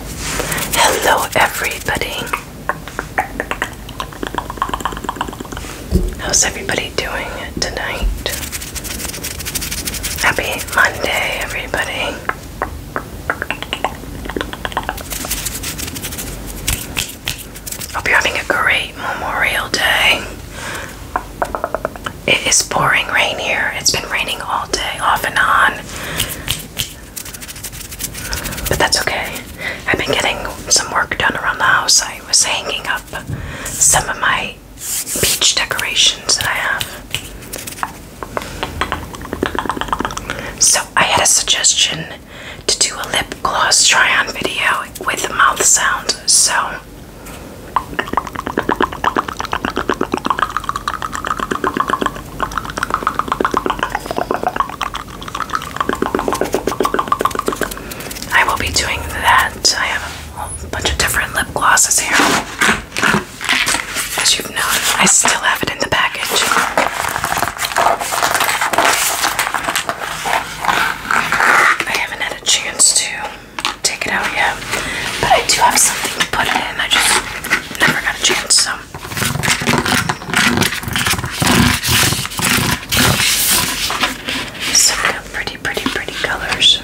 Hello, everybody. How's everybody doing tonight? Happy Monday, everybody. Hope you're having a great Memorial Day. It is pouring rain here. It's been raining all day, off and on. But that's okay. I've been getting some work done around the house. I was hanging up some of my beach decorations that I have. So I had a suggestion to do a lip gloss try on video with mouth sound. So I will be doing that. I have a bunch of different lip glosses here. As you've known, I still have it in the package. I haven't had a chance to take it out yet, but I do have something to put in. I just never got a chance, Some pretty, pretty, pretty colors.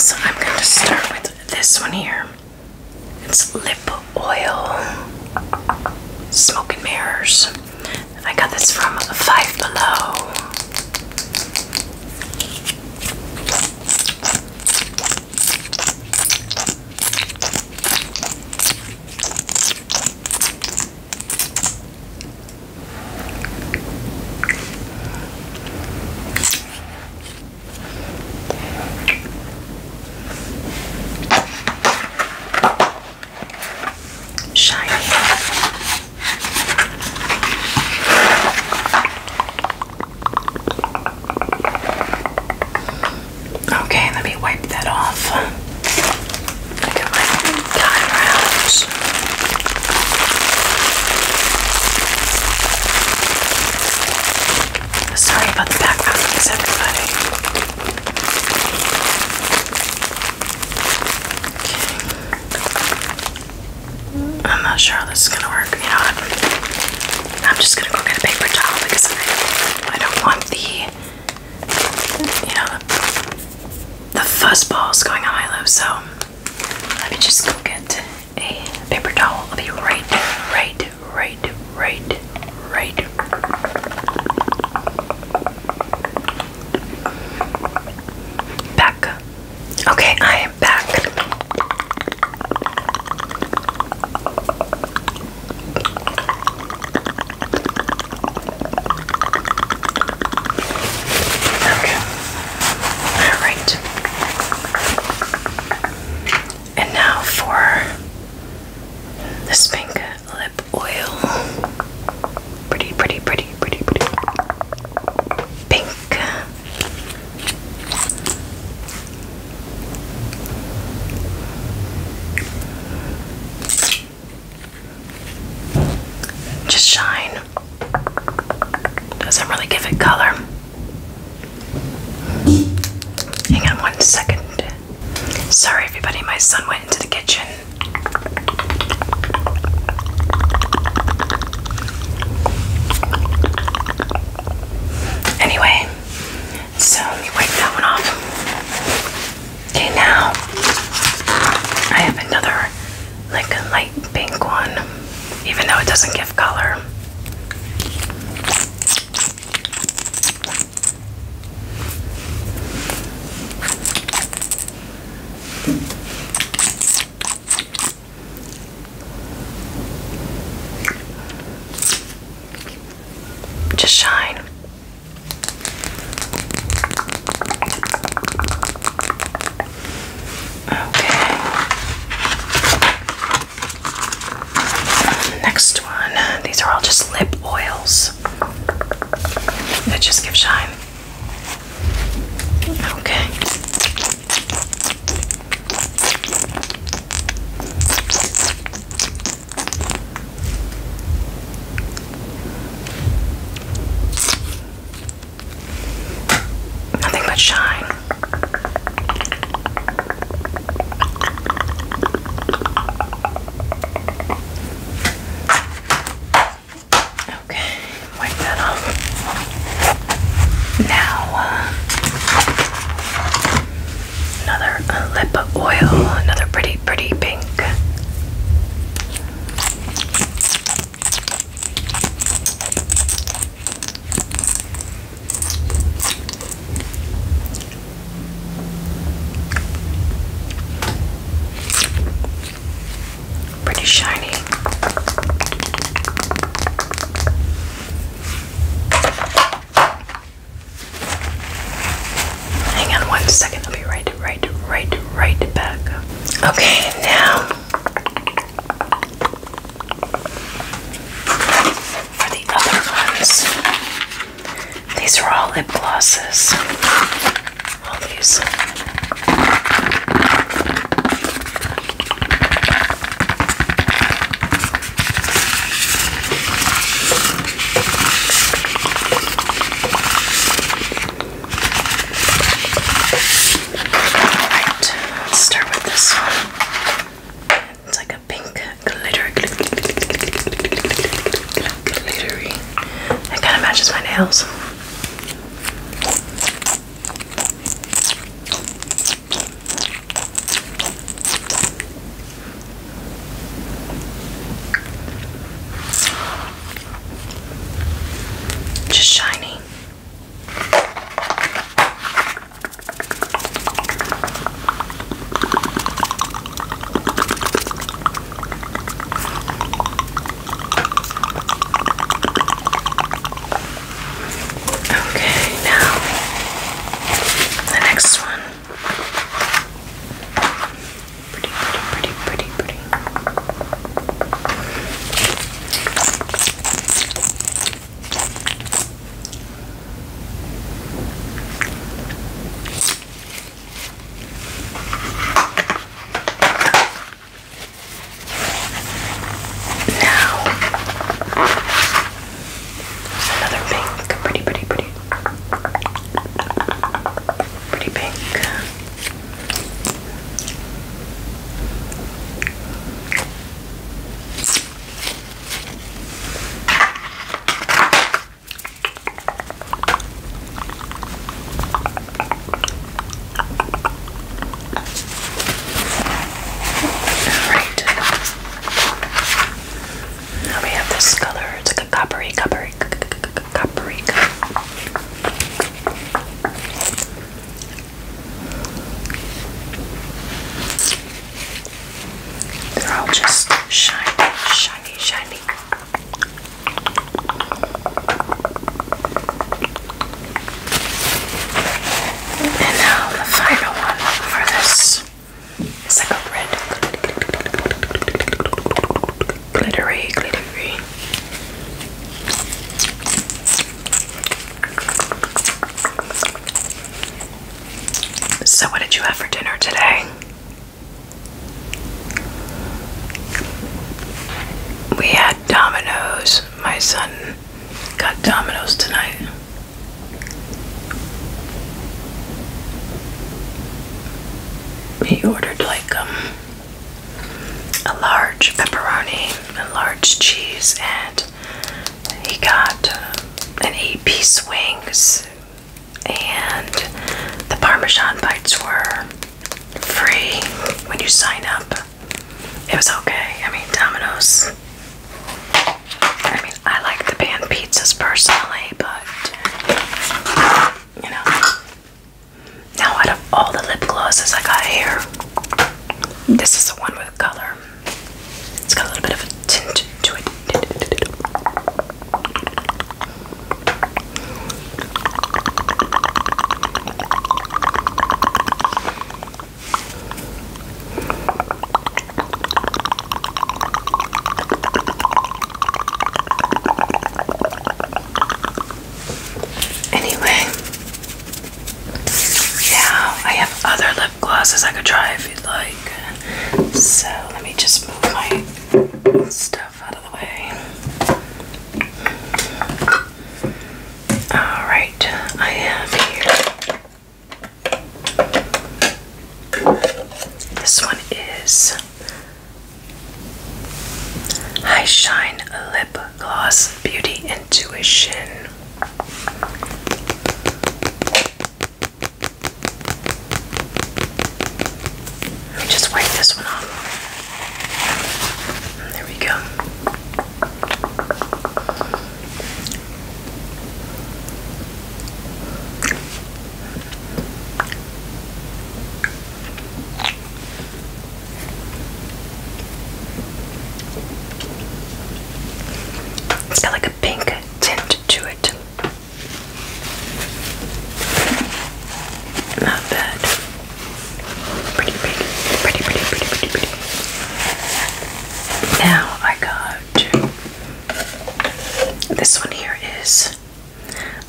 So I'm going to start with this one here. It's lip oil. Smoking mirrors. I got this from Five Below. Shiny. Okay, let me wipe that off. Look at my tie rounds. Sorry about the background noise, everybody. I'm not sure how this is gonna work. You know, I'm, just gonna go get a paper towel because I, don't want the, you know, the fuzz balls going on my lips. So let me just go get a paper towel will be right, right, right, right, right. Back. Okay, I am back. All right. And now for the pink lip oil. Pretty, pretty, pretty, pretty, pretty. Pink. Just shine. Doesn't really give it color. Hang on one second. Sorry, everybody, my son went into the kitchen. Anyway, so let me wipe that one off. Okay, now I have another, like a light pink one, even though it doesn't give color. Just shine. Okay. Next one. Uh, these are all just lip oils that just give shine. Okay. Nothing but shine. Okay, wipe that off. Now, uh, another uh, lip oil, another pretty, pretty pink. Pretty shiny. Hang on one second, I'll be right, right, right, right back. Okay, now for the other ones, these are all lip glosses. All these let's start with this one. It's like a pink glittery. It kind of matches my nails. Just shiny. Okay, now the next one. Pretty, pretty, pretty, pretty, pretty. Now, another pink, pretty, pretty, pretty, pretty pink. Alright. Now we have this color. It's a coppery, coppery, coppery. They're all just shiny, shiny, shiny. And now the final one for this is like a red glittery, glittery. So, what did you have for dinner today? We had Domino's. My son got Domino's tonight. He ordered like um a large pepperoni, a large cheese, and he got an eight piece wings. And the Parmesan bites were free when you sign up. It was okay. I mean, Domino's. I mean, I like the pan pizzas personally, but you know, now, out of all the lip glosses I got here, this is the one with color. It's got a little bit of a tint to it. Anyway, now I have other lip glosses I could try if you'd like. So let me just move my stuff out of the way. Alright, I have here. This one is I Shine Lip Gloss Beauty Intuition. Let me just wipe this one off. Mm, there we go. It's got like a pink tint to it. Not bad. Pretty big. Pretty, pretty, pretty, pretty, pretty. Now I got this one here is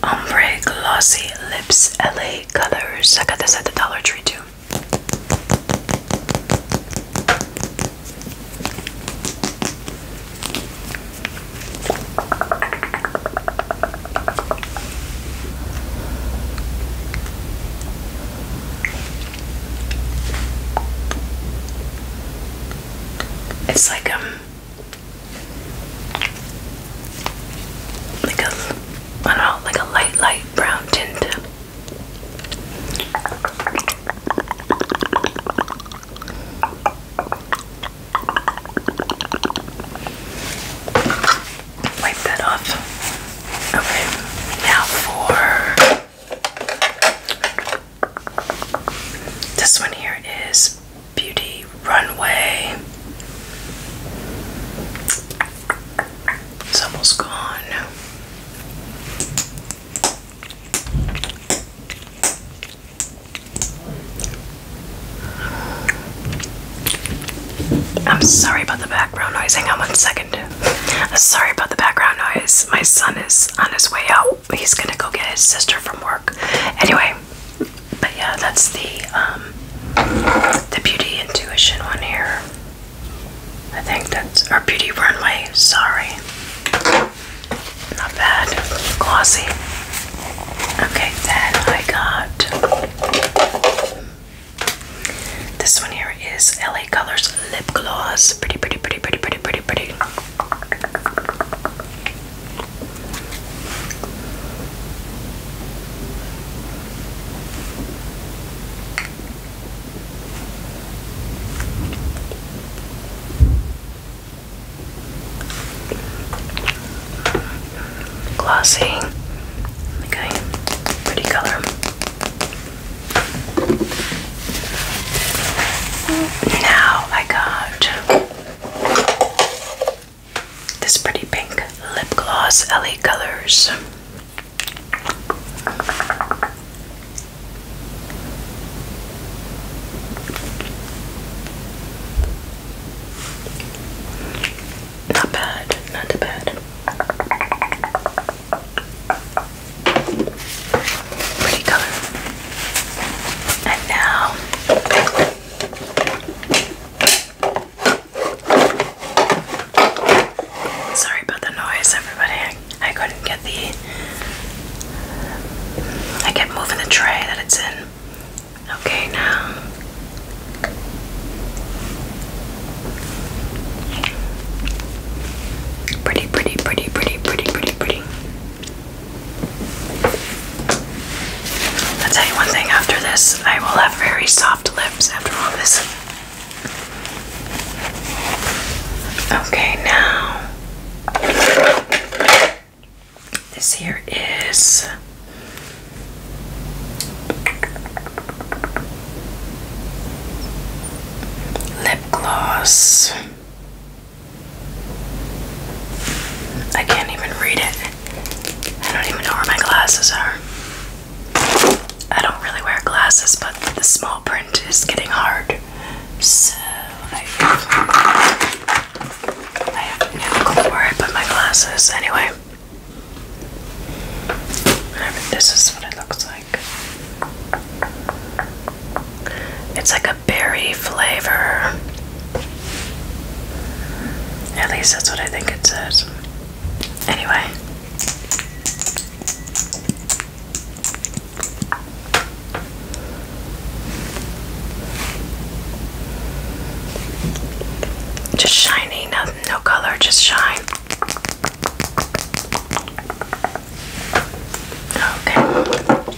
Ombre Glossy Lips LA Colors. I got this at the Dollar Tree too. It's like um like a I don't know, like a light, light brown tint. Wipe that off. Okay, now for this one here is beauty runway. It's almost gone. I'm sorry about the background noise. Hang on one second. Sorry about the background noise. My son is on his way out. He's gonna go get his sister from work. Anyway, but yeah, that's the um, the beauty intuition one here. I think that's our beauty runway. Sorry, not bad, glossy. Okay, then I got this one here is LA Colors lip gloss. Pretty, pretty, pretty, pretty, pretty, pretty, pretty. Glossy, okay, pretty color. Now I got this pretty pink lip gloss LA Colors. Not bad, not too bad. Pretty color. And now Sorry about the noise, everybody. I couldn't get the. I kept moving the tray that it's in. Okay, now. Pretty, pretty, pretty, pretty, pretty, pretty, pretty. I'll tell you one thing after this, I will have very soft lips after all this. Okay, now this here is lip gloss. I can't even read it. I don't even know where my glasses are. I don't really wear glasses, but the small print is getting hard. So I, I have no clue where I put my glasses. Anyway, this is what it looks like. It's like a berry flavor. At least that's what I think it says. Anyway. Just shiny, no, no color, just shine. Okay.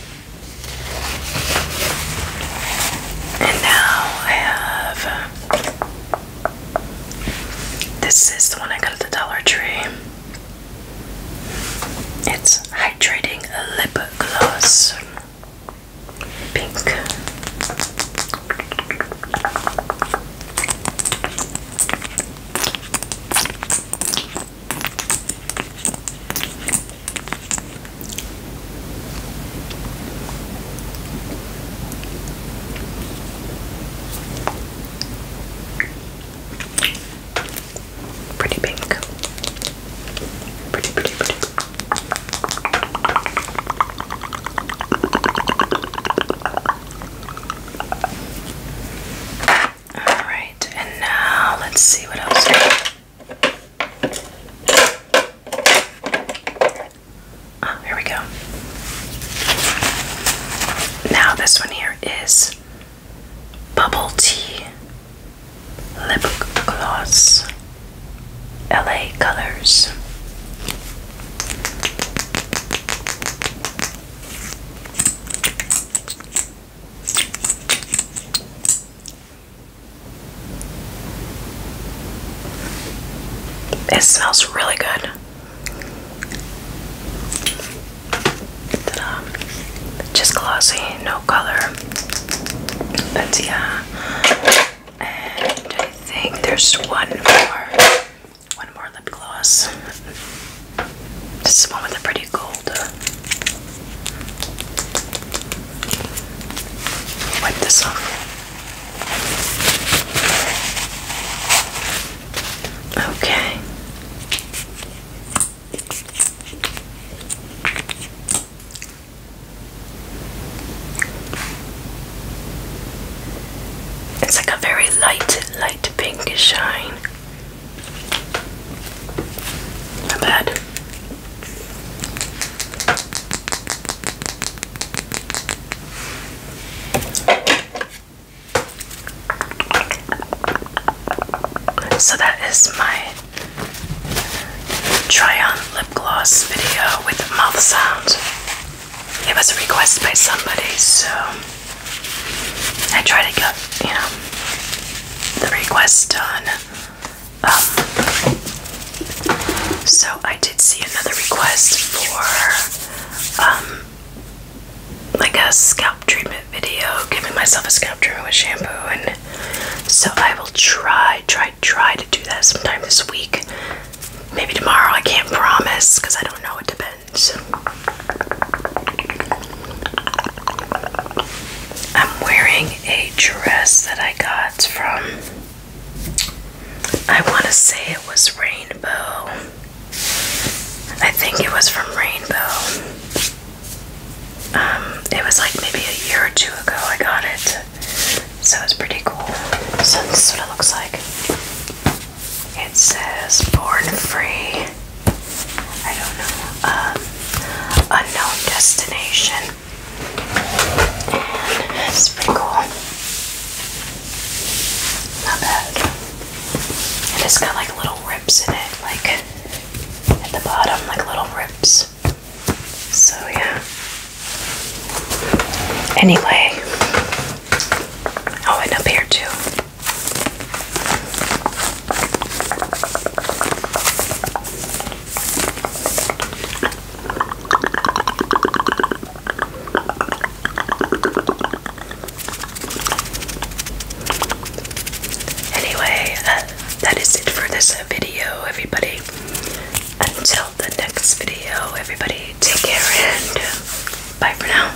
And now I have this is the one I got at the Dollar Tree. It's hydrating lip gloss. Pink. Pretty pink. Pretty, pretty, pretty. All right, and now let's see what else. Oh, here we go. Now, this one here is Bubble Tea Lip Gloss LA Colors. It smells really good. Just glossy, no color. But yeah. And I think there's one more. One more lip gloss. This is one with a pretty gold Wipe this off. Okay. It's like a very light, light pink shine bad. So that is my try on lip gloss video with mouth sounds. It was a request by somebody, so I try to get, you know, the request done. Um, so I did see another request for um, like a scalp treatment video, giving myself a scalp treatment with shampoo, and so I will try, try, try to do that sometime this week. Maybe tomorrow. I can't promise because I don't know. It depends. I'm wearing a dress that I got from, I want to say it was Rainbow. I think it was from Rainbow. Um, it was like maybe a year or two ago I got it. So it's pretty cool. So this is what it looks like. It says Born Free I don't know, um, unknown destination. And it's Not bad. it's got like little rips in it, like at the bottom, like little rips. So yeah. Anyway, oh, and up here too. Anyway, uh, that is it for this video, everybody. Until the next video, everybody, take care and bye for now.